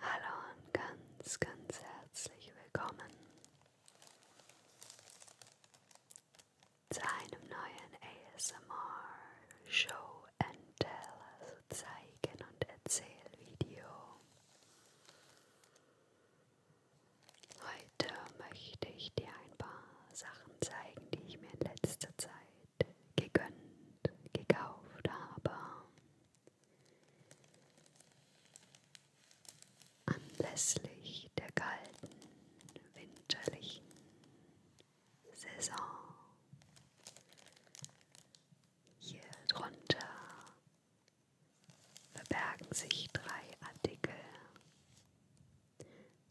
Hallo und ganz, ganz herzlich willkommen zu einem neuen ASMR Show and Tell, also Zeigen und Erzählvideo. Heute möchte ich dir ein paar Sachen zeigen, die ich mir in letzter Zeit gegönnt, gekauft habe. Anlässlich der kalten, winterlichen Saison. Hier drunter verbergen sich drei Artikel.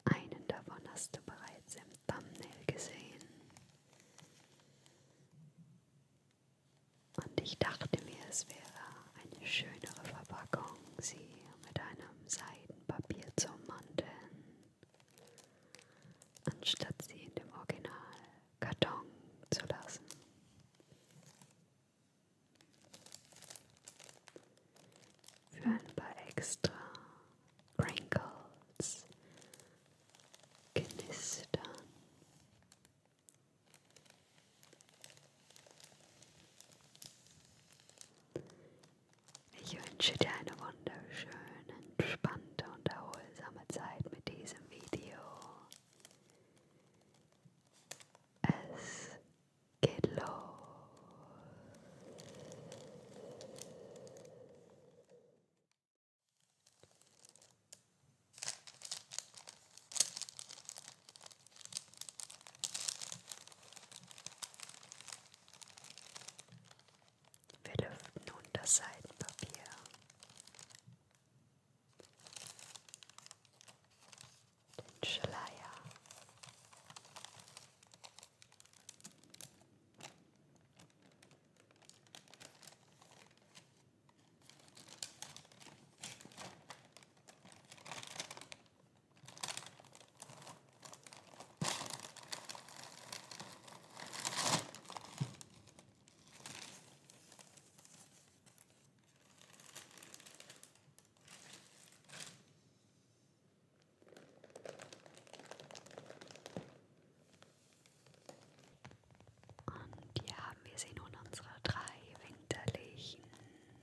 Einen davon hast du bereits im Thumbnail gesehen. Und ich dachte mir, es wäre eine schönere Verpackung, sie mit einem Seiten Papier zum Mandeln, anstatt sie in dem Original Karton zu lassen. Für ein paar extra Wrinkles knistern. Ich wünsche dir eine wunderschöne, entspannte und erholsame Zeit mit diesem Video. Es geht los. Wir lüften nun das Seidenpapier. Den Schleier. Und hier haben wir sie nun, unsere drei winterlichen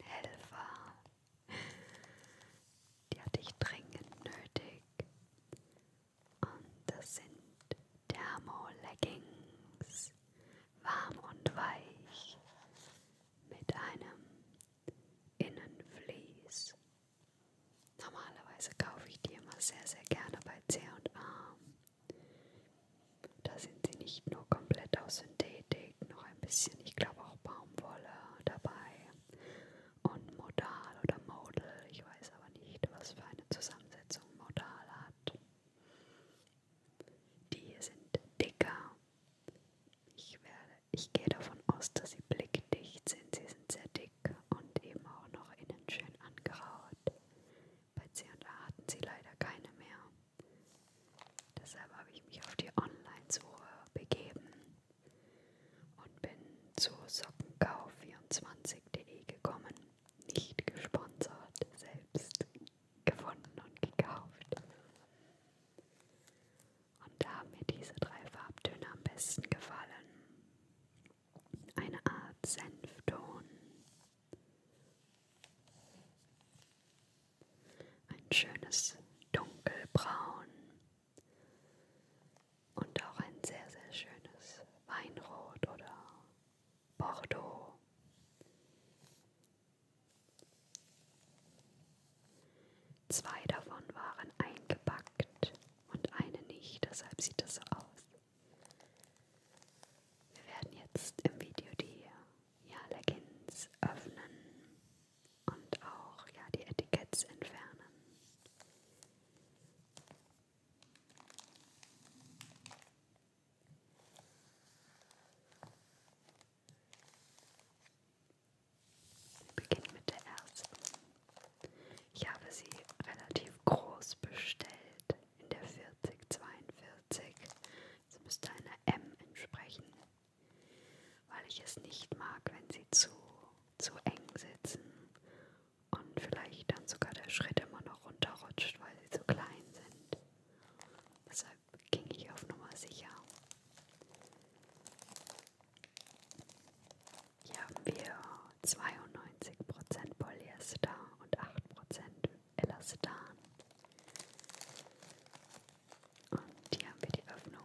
Helfer die hatte ich dringend nötig. Und das sind Thermo-Leggings, warm und weich, mit einem Innenvlies. Normalerweise kaufe ich die immer sehr, sehr gerne bei C&A. Da sind sie nicht nur komplett aus Synthetik, noch ein bisschen, ich glaube auch Baumwolle dabei und Modal oder Modal, ich weiß aber nicht, was für eine Zusammensetzung Modal hat. Die hier sind dicker. Ich, werde, ich gehe davon aus, dass sie blickdicht sind. Sie sind sehr dick und eben auch noch innen schön angeraut. Bei C&A hatten sie leider keine mehr. Deshalb habe ich mich auf die Online-Suche begeben und bin zu sockenkau24.de gekommen. Nicht gesponsert, selbst gefunden und gekauft. Und da haben mir diese drei Farbtöne am besten gefallen. Eine Art Senfton ein schönes dunkelbraun und auch ein sehr, sehr schönes Weinrot oder Bordeaux. Zwei davon waren eingepackt und eine nicht, deshalb sieht es so aus. Wir werden jetzt im Video die Jalekins öffnen und auch ja, die Etiketts entfernen. Wir beginnen mit der ersten. Ich habe sie relativ groß bestellt, in der 4042. Es müsste einer M entsprechen weil ich es nicht mag, wenn sie zu, zu eng sitzen und vielleicht dann sogar der Schritt immer noch runterrutscht, weil sie zu klein sind. Deshalb ging ich auf Nummer sicher. Hier haben wir 92% Polyester und 8% Elastan. Und hier haben wir die Öffnung.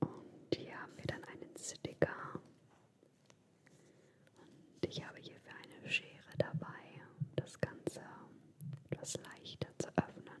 Und hier haben wir dann einen Sticker. Und ich habe hierfür eine Schere dabei, um das Ganze etwas leichter zu öffnen.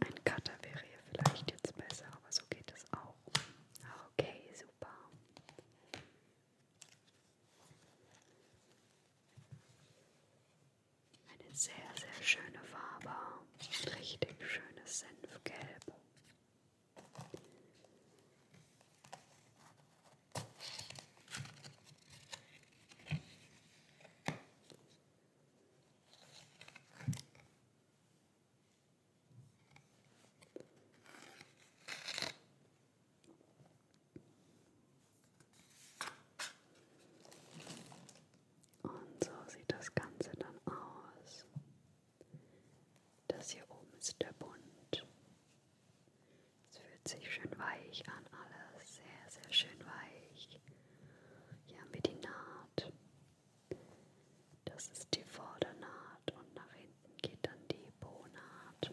Ein Cutter wäre hier vielleicht jetzt besser, aber so geht es auch. Okay, super. Eine sehr, sehr schöne Farbe. Richtig schönes Senfgelb. Und so sieht das Ganze dann aus. Das hier oben ist der Bund. Es fühlt sich schön weich an, alles sehr, sehr schön weich. Bereich. Hier haben wir die Naht. Das ist die Vordernaht und nach hinten geht dann die Bonaht,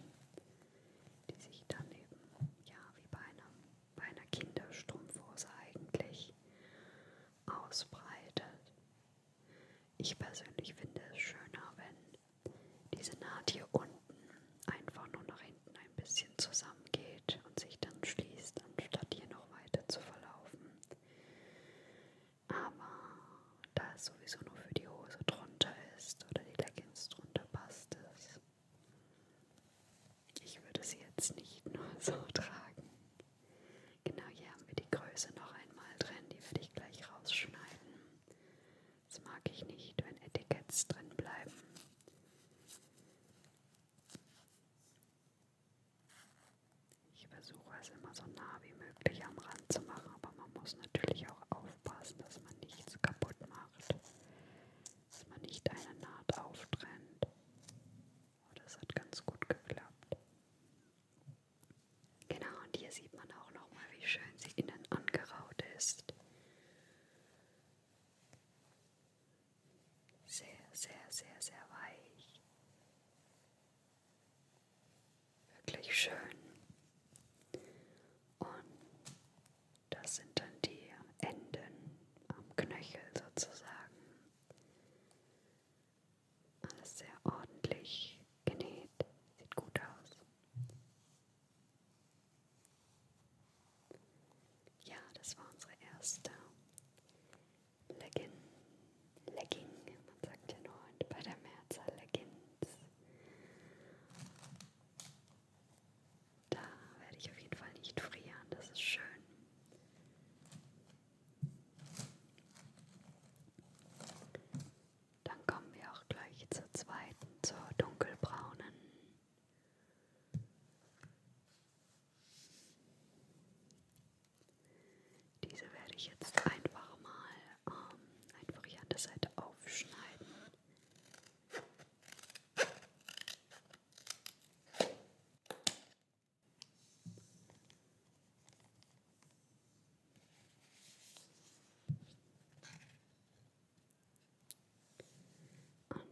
die sich dann eben, ja, wie bei, einem, bei einer Kinderstrumpfhose eigentlich ausbreitet. Ich persönlich finde es schöner, wenn diese Naht hier unten einfach nur noch in hinten ein bisschen zusammengeht und sich dann schließt, anstatt hier noch weiter zu verlaufen. Aber da es sowieso nur für die Hose drunter ist oder die Leggings drunter passt es. Ich würde sie jetzt nicht nur so tragen. Genau hier haben wir die Größe noch einmal drin, die werde ich gleich rausschneiden. Das mag ich nicht, wenn Etiketts drin bleiben. Ich versuche es immer so nah wie möglich am Rand zu machen, aber man muss natürlich auch aufpassen, dass man nichts kaputt macht, dass man nicht eine Naht auftrennt. Oh, das hat ganz gut geklappt. Genau, und hier sieht man auch nochmal, wie schön sie innen angeraut ist sehr, sehr, sehr, sehr weich. Wirklich schön. Und das sind dann die Enden am Knöchel sozusagen. Alles sehr ordentlich genäht. Sieht gut aus. Ja, das war unsere erste Legging. Legging, man sagt ja nur heute bei der Mehrzahl Leggings. Da werde ich auf jeden Fall nicht frieren, das ist schön. Dann kommen wir auch gleich zur zweiten, zur dunkelbraunen. Diese werde ich jetzt einfach mal ähm, einfach hier an der Seite aufschneiden. So.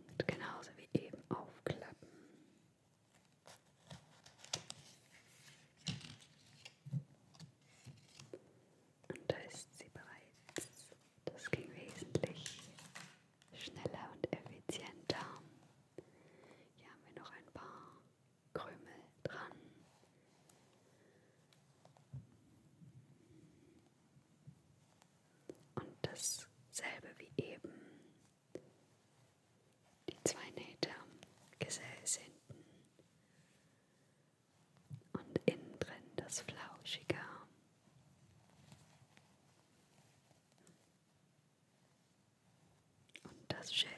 Und genauso wie eben aufklappen. Und da ist sie bereits. Das ging wesentlich schneller und effizienter. Hier haben wir noch ein paar Krümel dran und dasselbe wie eben. Die zwei Nähte am Gesäß hinten und innen drin das Flauschige. Und das Schild.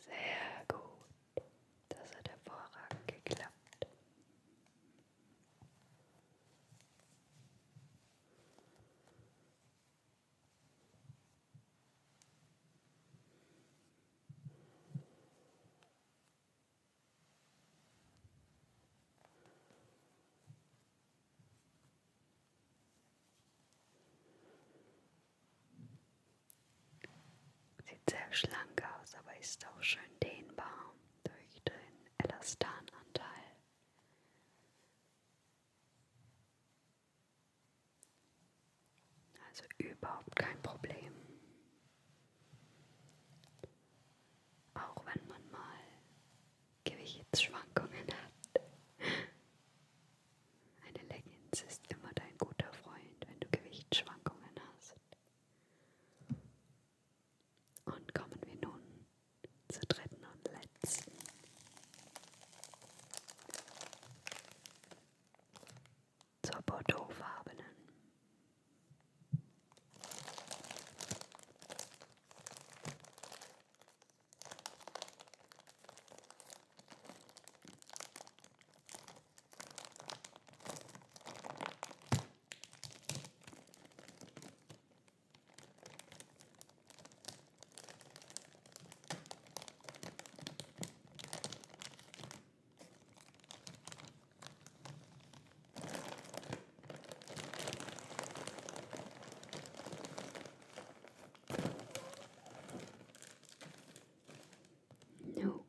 Sehr gut. Das hat hervorragend geklappt. Sieht sehr schlank aus, aber ist auch schön dehnbar durch den Elastananteil. Also überhaupt kein Problem. Auch wenn man mal Gewichtsschwankungen hat. Eine Leggings ist immer dein guter Freund, wenn du Gewichtsschwankungen hast. Und kommen wir nun zur dritten und letzten. Zur Bordeauxfarbenen.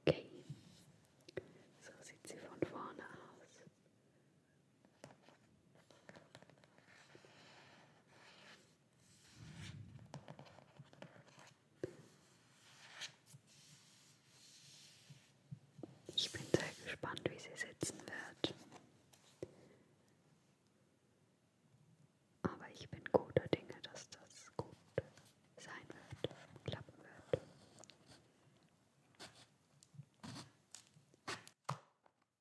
Okay, so sieht sie von vorne aus. Ich bin sehr gespannt, wie sie sitzen wird. Aber ich bin guter Dinge, dass das gut sein wird, klappen wird.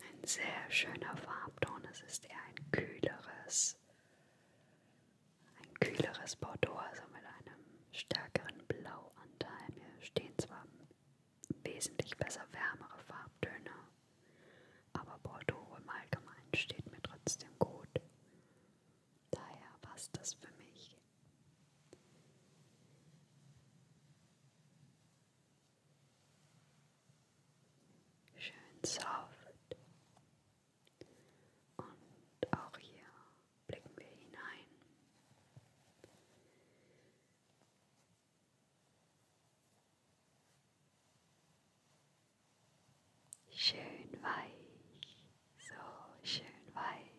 Ein sehr schöner Farbton, es ist eher ein kühleres, ein kühleres Bordeaux, also mit einem stärkeren Blauanteil. Mir stehen zwar wesentlich besser wärmere Farbtöne, aber Bordeaux im Allgemeinen steht mir trotzdem gut. Daher passt das für mich Schön soft. Und auch hier blicken wir hinein. Schön weich, so schön weich.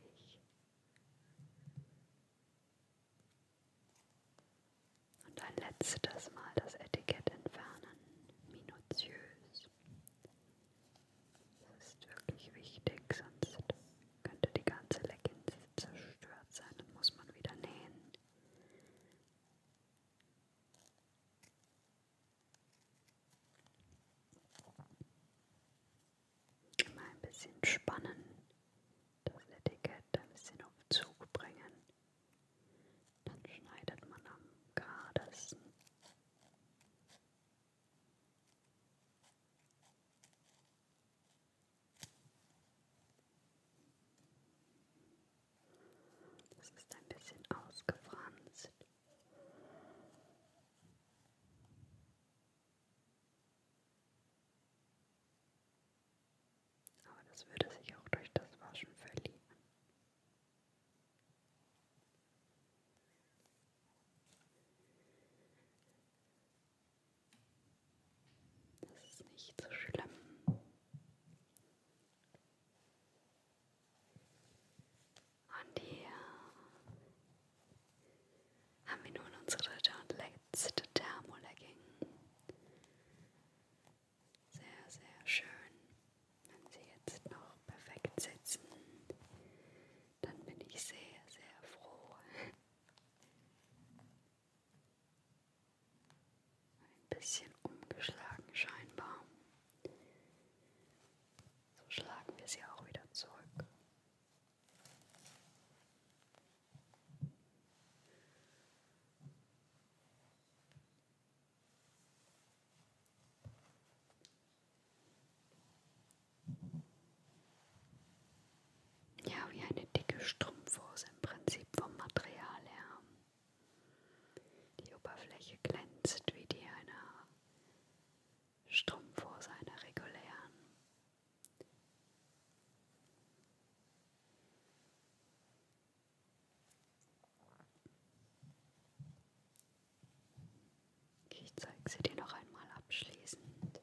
Und ein letztes Mal das Etikett entfernen, minutiös. Das ist wirklich wichtig, sonst könnte die ganze Leggings zerstört sein und muss man wieder nähen. Immer ein bisschen spannen, das Etikett ein bisschen auf Zug bringen. Dann schneidet man am geradesten. Das ist ein bisschen ausgefranst. Aber das würde sich auch durch das Waschen verlieren. Das ist nicht so schlimm. Und hier haben wir nun unsere dritte und letzte Thermolegging. Sehr, sehr schön. Wenn Sie jetzt noch perfekt sitzen, dann bin ich sehr, sehr froh. Ein bisschen umgeschlagen scheinbar. So schlagen wir sie auch wieder zurück. Ja, wie eine dicke Strumpfhose im Prinzip vom Material her. Die Oberfläche glänzt wie die einer Strumpfhose einer regulären. Ich zeige sie dir noch einmal abschließend.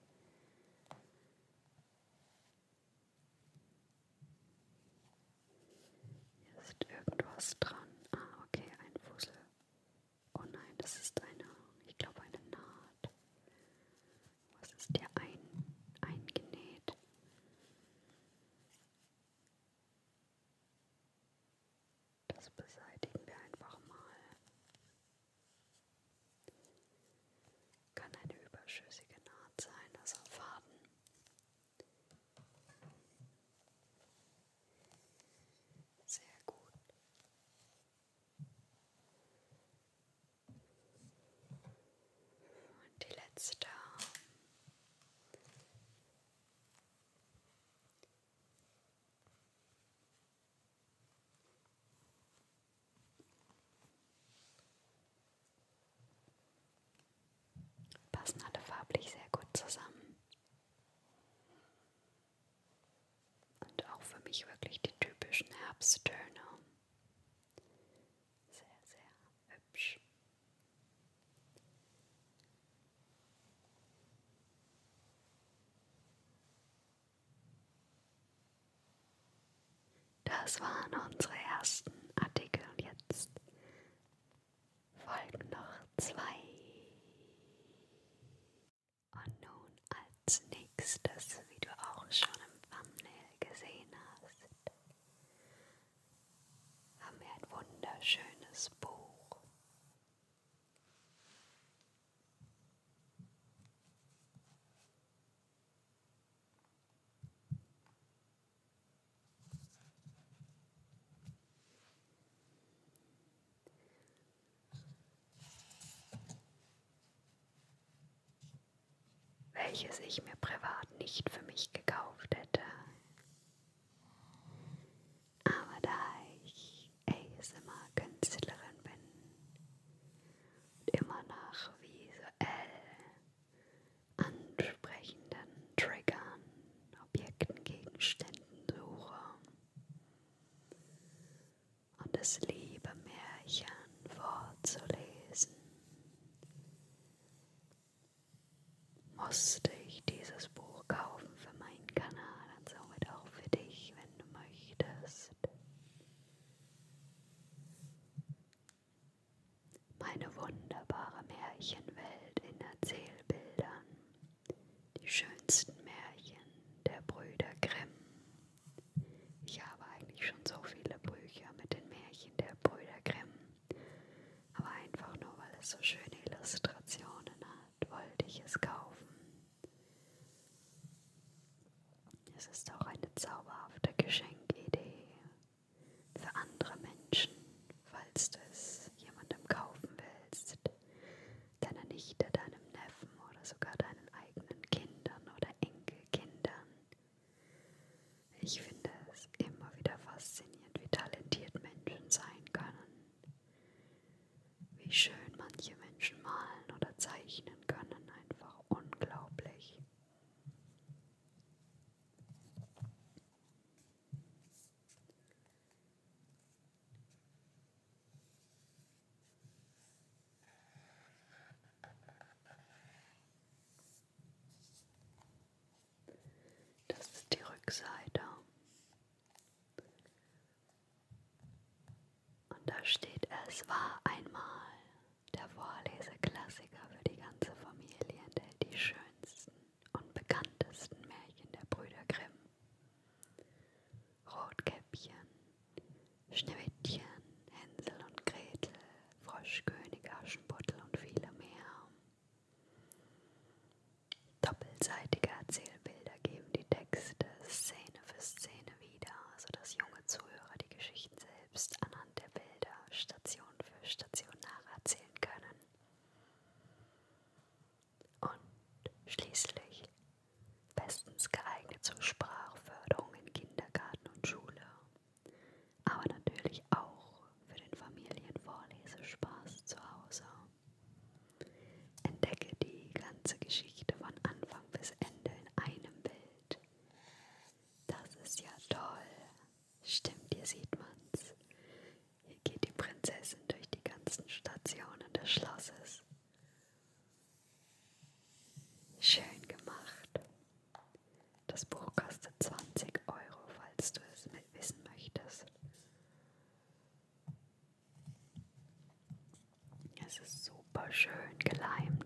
Hier ist irgendwas dran. Ah, okay, ein Fussel. Oh nein, das ist eine, ich glaube eine Naht. Was ist der ein, eingenäht? Das beseitigen wir einfach mal. Kann eine überschüssige Naht sein, also Faden. Sehr gut. Und die letzte. Passen alle farblich sehr gut zusammen. Und auch für mich wirklich die typischen Herbsttöne. Sehr, sehr hübsch. Das waren unsere ersten Artikel und jetzt folgen noch zwei. Und nun als nächstes, wie du auch schon im Thumbnail gesehen hast, haben wir ein wunderschönes Buch welches ich mir privat nicht für mich gekauft hätte. Aber da ich ASMR-Künstlerin bin und immer nach visuell ansprechenden Triggern, Objekten, Gegenständen suche, und das liebe Märchen vorzulesen, musste ich dieses Buch kaufen für meinen Kanal und somit auch für dich, wenn du möchtest. Meine wunderbare Märchenwelt in Erzählbildern die schönsten Märchen der Brüder Grimm. Ich habe eigentlich schon so viele Bücher mit den Märchen der Brüder Grimm, aber einfach nur weil es so schöne Illustrationen hat, wollte ich es kaufen. Es ist auch eine zauberhafte Geschenkidee für andere Menschen, falls du es jemandem kaufen willst, deiner Nichte, deinem Neffen oder sogar deinen eigenen Kindern oder Enkelkindern. Ich finde es immer wieder faszinierend, wie talentiert Menschen sein können, wie schön manche Menschen malen oder zeichnen können, einfach unglaublich. Das ist die Rückseite. Und da steht, es war einmal der Vorleseklassiker für die ganze Familie, enthält die schönsten und bekanntesten Märchen der Brüder Grimm. Rotkäppchen, Schneewittchen, Hänsel und Gretel, Froschkönig, Aschenputtel und viele mehr. Doppelseitige Erzählbilder geben die Texte Szene für Szene wieder, sodass junge Zuhörer die Geschichten selbst anhand der Bilder Station für Station nacherzählen können und schließlich bestens geeignet zur Sprachförderung in Kindergarten und Schule, aber natürlich auch für den Familienvorlesespaß zu Hause. Entdecke die ganze Geschichte von Anfang bis Ende in einem Bild. Das ist ja toll. Stimmt, hier sieht man's. Hier geht die Prinzessin durch die ganzen Stationen des Schlosses. Schön gemacht. Das Buch kostet 20 Euro, falls du es mit wissen möchtest. Es ist super schön geleimt.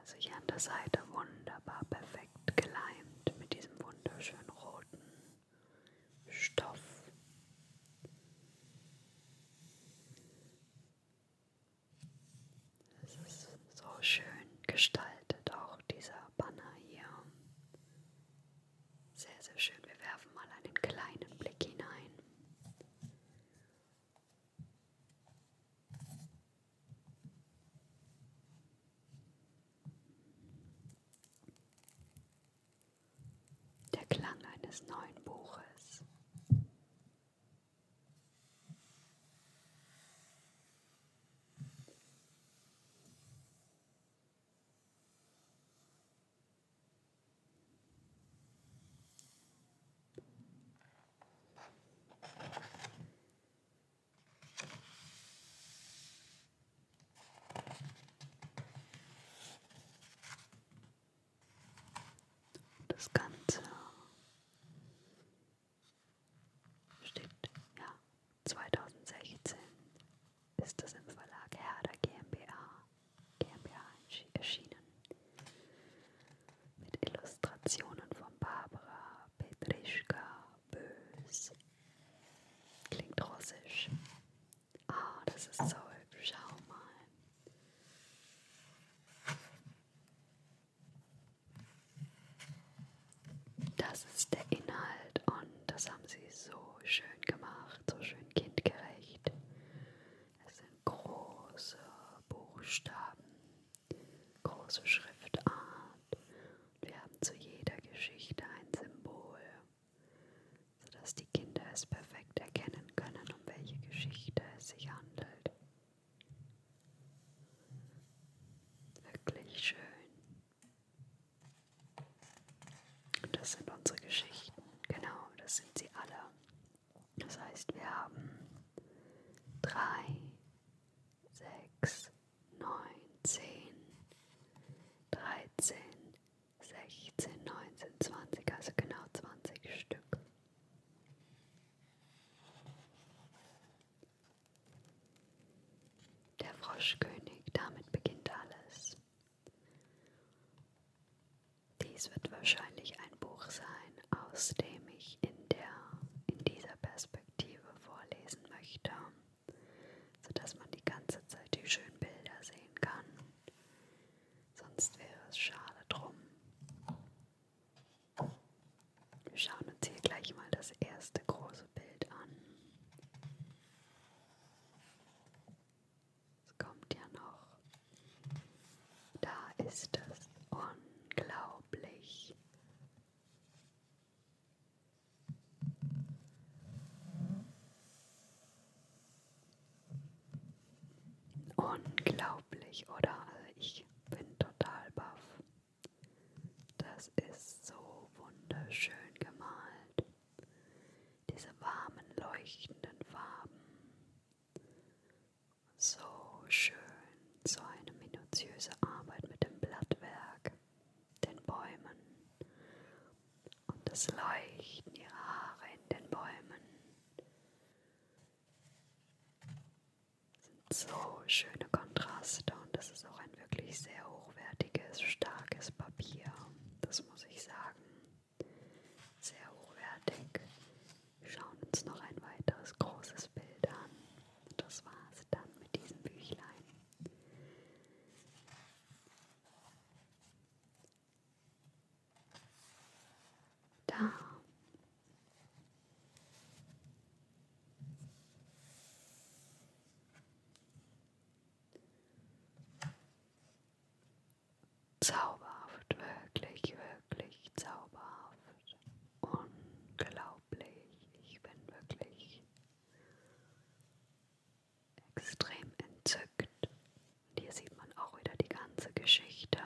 Also hier an der Seite wunderbar perfekt geleimt mit diesem wunderschönen roten Stoff. Es ist so schön gestaltet, auch dieser Banner hier. Sehr, sehr schön. Wir werfen mal einen kleinen Blick hinein. Der Klang eines neuen Buches. Das Ganze steht, ja, 2016 ist das im Verlag Herder GmbH, GmbH erschienen mit Illustrationen von Barbara Petrischka Bös. Klingt russisch. Ah, oh, das ist so hübsch. Schau mal. Das ist der Inhalt und das haben sie so schön gemacht, so schön kindgerecht. Es sind große Buchstaben, große Schriftart. Wir haben zu jeder Geschichte ein Symbol, sodass die Kinder es perfekt erkennen können, um welche Geschichte es sich handelt. Wirklich schön. Und das sind unsere Geschichten. Genau, das sind sie alle. Das heißt, wir haben 3, 6, 9, 10, 13, 16, 19, 20, also genau 20 Stück. Der Froschkönig, damit beginnt alles. Dies wird wahrscheinlich ein Buch sein, aus dem ich in, der, in dieser Perspektive vorlesen möchte, sodass man die ganze Zeit die schönen Bilder sehen kann. Sonst wäre es schade drum. Wir schauen uns hier gleich mal das erste große Bild an. Es kommt ja noch da ist es unglaublich. Unglaublich, oder? Also ich bin total baff. Das ist so wunderschön gemalt. Diese warmen, leuchtenden Farben. So schön, so eine minutiöse Arbeit mit dem Blattwerk, den Bäumen und das Leuchten ihrer Haare in den Bäumen. Das sind so schöne Kontraste und das ist auch ein wirklich sehr hochwertiges, starkes Papier, das muss ich sagen. Sehr hochwertig. Wir schauen uns noch ein weiteres großes Bild an. Und das war's dann mit diesem Büchlein. Da. Zauberhaft, wirklich, wirklich zauberhaft. Unglaublich. Ich bin wirklich extrem entzückt. Und hier sieht man auch wieder die ganze Geschichte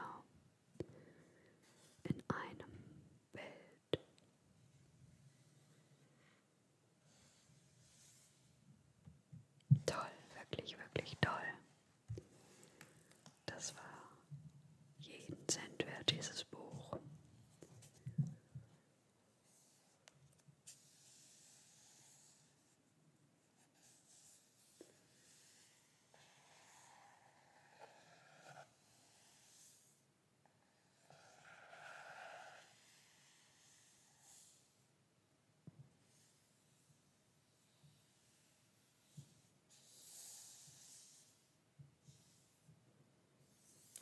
in einem Bild. Toll, wirklich, wirklich toll. Das war jeden Cent wert, dieses Buch.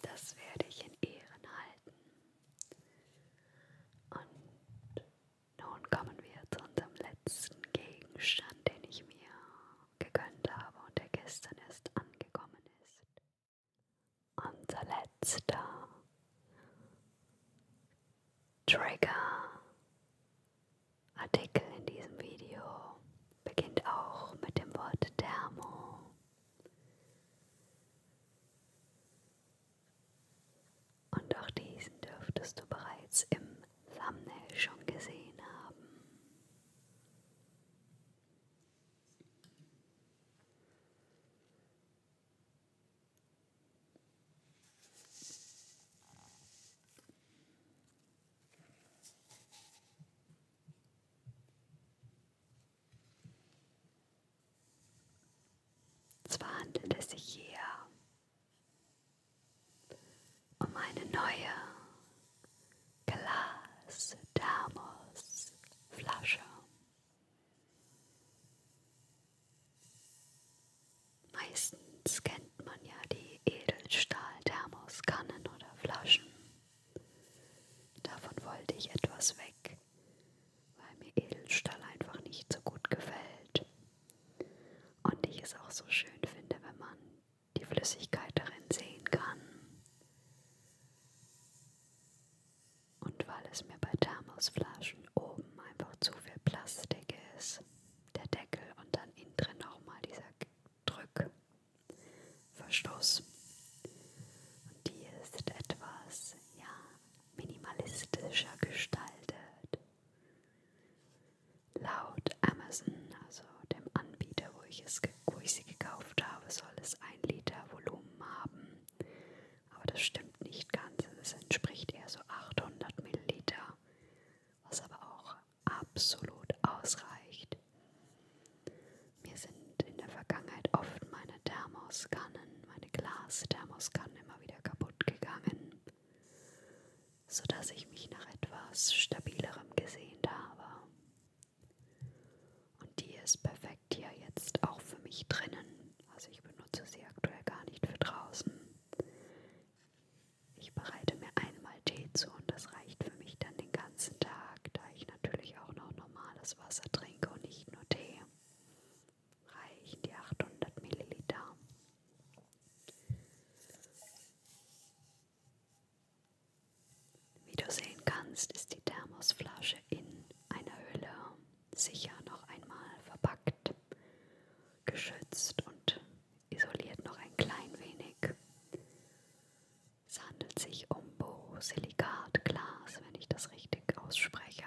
Das werde ich in Ehren halten. Und nun kommen wir zu unserem letzten Gegenstand, den ich mir gegönnt habe und der gestern erst angekommen ist. Unser letzter Trigger Artikel in diesem Video beginnt auch mit dem Wort Thermo. Und auch diesen dürftest du bereits im Thumbnail schon gesehen haben. Zwar handelt es sich hier um eine neue Glas-Thermos-Flasche. Meistens kennt man ja die Edelstahl-Thermoskannen oder Flaschen. Davon wollte ich etwas weg, weil mir Edelstahl einfach nicht so gut gefällt. Und ich es auch so schön finde, wenn man die Flüssigkeit darin sehen kann. Und weil es mir bei Thermosflaschen oben einfach zu viel Plastik ist der Deckel und dann innen drin nochmal dieser Drückverschluss. Und die ist etwas ja, minimalistischer gestaltet. Laut Amazon, also dem Anbieter, wo ich, es, wo ich sie gekauft habe, soll es ein Liter Volumen haben. Aber das stimmt nicht ganz. Es entspricht eher so 800 Milliliter was aber auch absolut ausreicht. Mir sind in der Vergangenheit oft meine Thermoskannen, meine Glasthermoskannen immer wieder kaputt gegangen, sodass ich mich nach etwas stabilerem gesehnt habe. Und die ist perfekt hier jetzt auch für mich drinnen. Also ich benutze sie aktuell gar nicht für draußen. Ich bereite mir einmal Tee zu und das reicht für mich dann den ganzen Tag, da ich natürlich auch noch normales Wasser trinke und nicht nur Tee. Reichen die 800 Milliliter. Wie du sehen kannst, ist die Thermosflasche in einer Hülle sicher noch einmal verpackt geschützt und isoliert noch ein klein wenig. Es handelt sich um Borosilikatglas, wenn ich das richtig ausspreche,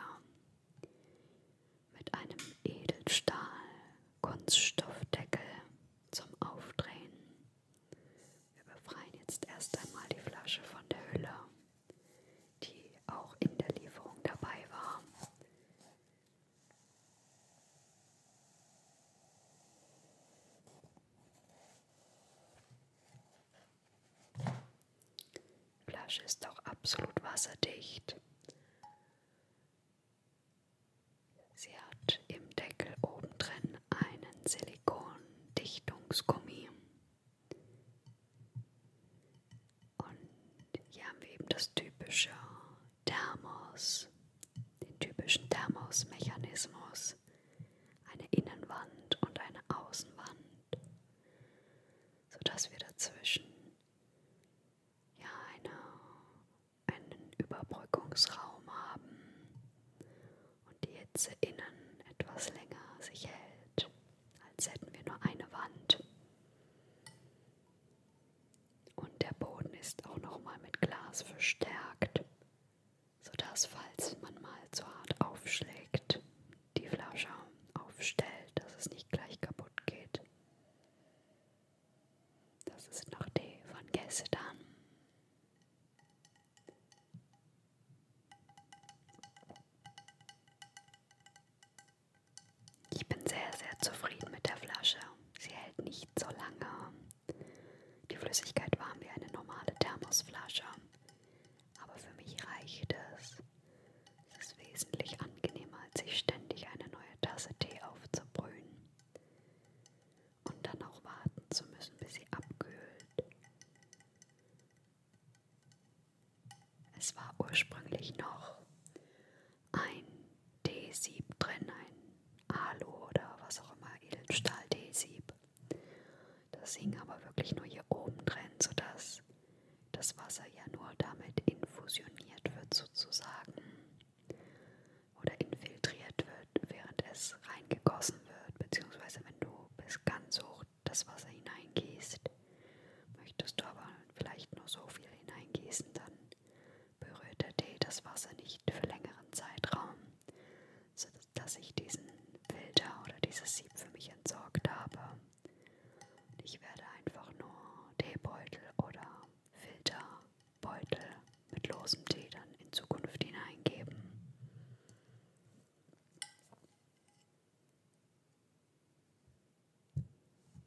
mit einem Edelstahl-Kunststoffdeckel zum Aufdrehen. Wir befreien jetzt erst einmal die Flasche von der Hülle, die auch in der Lieferung dabei war. Die Flasche ist auch absolut wasserdicht. Sie hat im Deckel oben drin einen Silikondichtungsgummi. Und hier haben wir eben das typische Thermos, den typischen Thermos-Mechanismus. Eine Innenwand und eine Außenwand, sodass wir dazwischen ja eine, einen Überbrückungsraum haben und die Hitze innen etwas länger sich hält, als hätten wir nur eine Wand. Und der Boden ist auch nochmal mit Glas verstärkt, sodass, falls man mal zu hart aufschlägt, die Flasche aufstellt, dass es nicht gleich kaputt geht. Das ist noch die von gestern. Ich bin sehr, sehr zufrieden mit der Flasche. Sie hält nicht so lange. Die Flüssigkeit warm wie eine normale Thermosflasche. Aber für mich reicht es. Es ist wesentlich angenehmer, als sich ständig eine neue Tasse Tee aufzubrühen und dann auch warten zu müssen, bis sie abkühlt. Es war ursprünglich noch ein D-Sieb drin, ein Alu oder was auch immer, Edelstahl-D-Sieb. Das hing aber wirklich nur hier oben drin, sodass das Wasser ja nur damit infusioniert wird sozusagen oder infiltriert wird, während es reingegossen wird, beziehungsweise wenn du bis ganz hoch das Wasser hineingießt, Möchtest du aber vielleicht nur so viel hineingießen, dann berührt der Tee das Wasser nicht für längeren Zeitraum, sodass ich diesen Filter oder dieses Sieb für mich entsorgt habe. Und ich werde einfach nur Teebeutel oder Filterbeutel mit losem Tee dann in Zukunft hineingeben.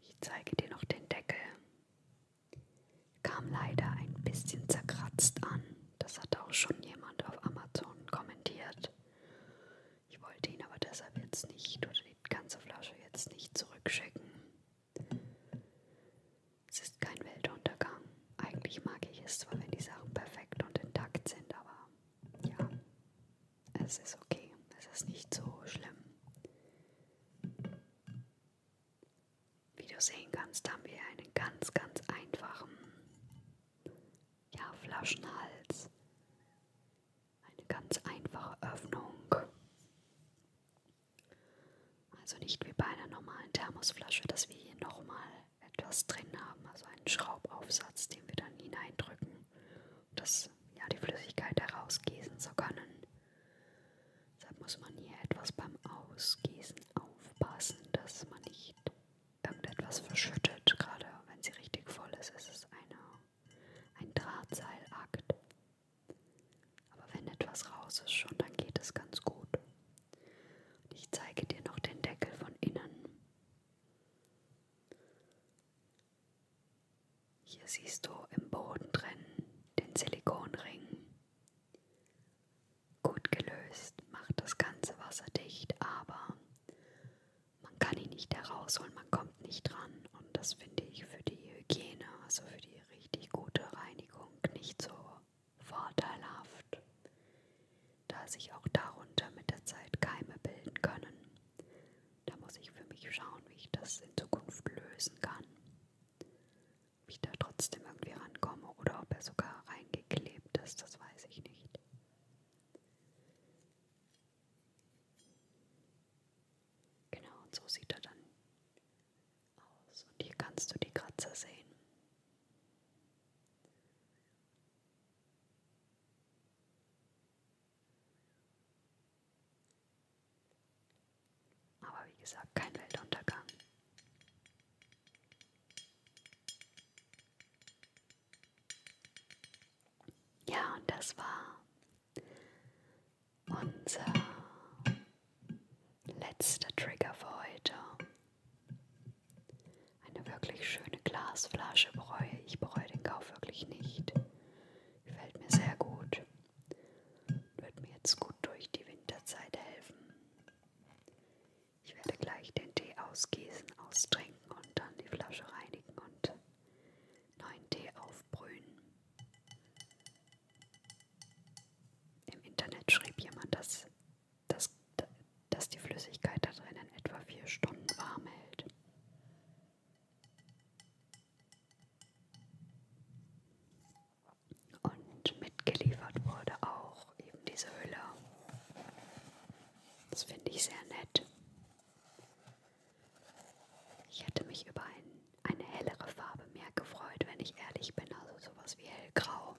Ich zeige dir noch den Deckel. Kam leider ein bisschen zerkratzt an. Das hatte auch schon jemand auf Amazon kommentiert. Ich wollte ihn aber deshalb jetzt nicht oder die ganze Flasche jetzt nicht zurückschicken. Es ist kein Weltuntergang. Eigentlich mag ich es zwar, wenn die Sachen perfekt und intakt sind, aber ja, es ist okay, es ist nicht so schlimm. Wie du sehen kannst, haben wir einen ganz, ganz einfachen ja, Flaschenhals. Eine ganz einfache Öffnung. Also nicht wie bei einer normalen Thermosflasche, dass wir hier nochmal etwas drin haben, also einen Schraubaufsatz, den wir dann hineindrücken das, ja, die Flüssigkeit herausgießen zu können. Deshalb muss man hier etwas beim Ausgießen aufpassen, dass man nicht irgendetwas verschüttet. Gerade wenn sie richtig voll ist, ist es eine, ein Drahtseilakt. Aber wenn etwas raus ist schon, dann geht es ganz gut. Und ich zeige dir noch den Deckel von innen. Hier siehst du im Boden drin den Silikonring. Gut gelöst, macht das Ganze wasserdicht, aber man kann ihn nicht herausholen, man kommt nicht dran. Und das finde ich für die Hygiene, also für die richtig gute Reinigung, nicht so vorteilhaft, da sich auch darunter mit der Zeit Keime bilden können. Da muss ich für mich schauen, wie ich das in Zukunft lösen kann. Ob ich da trotzdem irgendwie rankomme oder ob er sogar reingeklebt ist, das weiß ich nicht. Genau, und so sieht er dann aus. Und hier kannst du die Kratzer sehen. Aber wie gesagt, kein Weltuntergang. Ja, und das war unser letzter Trigger für heute. Eine wirklich schöne Glasflasche bereue ich bereue den Kauf wirklich nicht. Gefällt mir sehr gut. Wird mir jetzt gut durch die Winterzeit helfen. Ich werde gleich den Tee ausgießen, austrinken und dann die Flasche reinigen und neuen Tee aufbrühen. Im Internet schrieb jemand, dass, dass, dass die Flüssigkeit da drinnen etwa vier Stunden warm hält. Und mitgeliefert wurde auch eben diese Hülle. Das finde ich sehr nett. Ich hätte mich über ein, eine hellere Farbe mehr gefreut, wenn ich ehrlich bin. Also sowas wie hellgrau.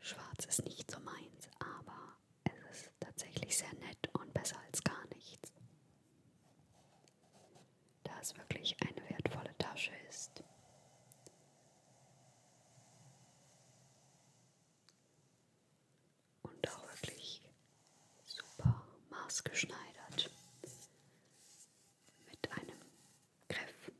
Schwarz ist nicht so meins, aber es ist tatsächlich sehr nett und besser als gar nichts. Da es wirklich eine wertvolle Tasche ist. Und auch wirklich super maßgeschneidert mit einem Griff.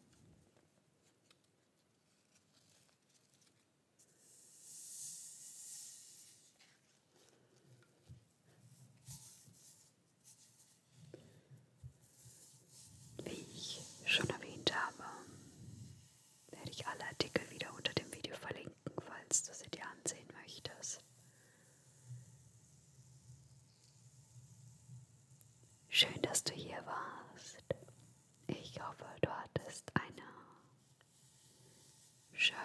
Wie ich schon erwähnt habe, werde ich alle Artikel wieder unter dem Video verlinken, falls du sie dir ansehen möchtest. Schön, dass du hier warst. Ich hoffe, du hattest eine schön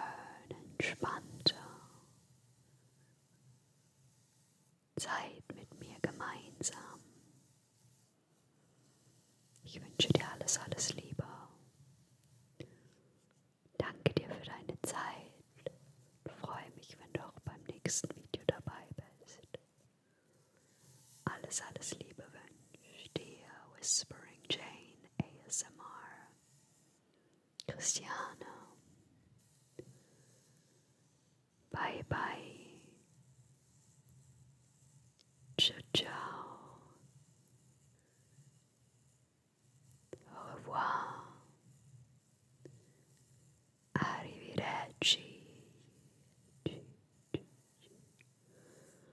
entspannte Zeit mit mir gemeinsam. Ich wünsche dir alles, alles Liebe. Danke dir für deine Zeit. Ich freue mich, wenn du auch beim nächsten Video dabei bist. Alles, alles Liebe wünsche dir Whispering Jane ASMR. Cristiano. Bye bye. Ciao ciao. Au revoir. Arrivederci.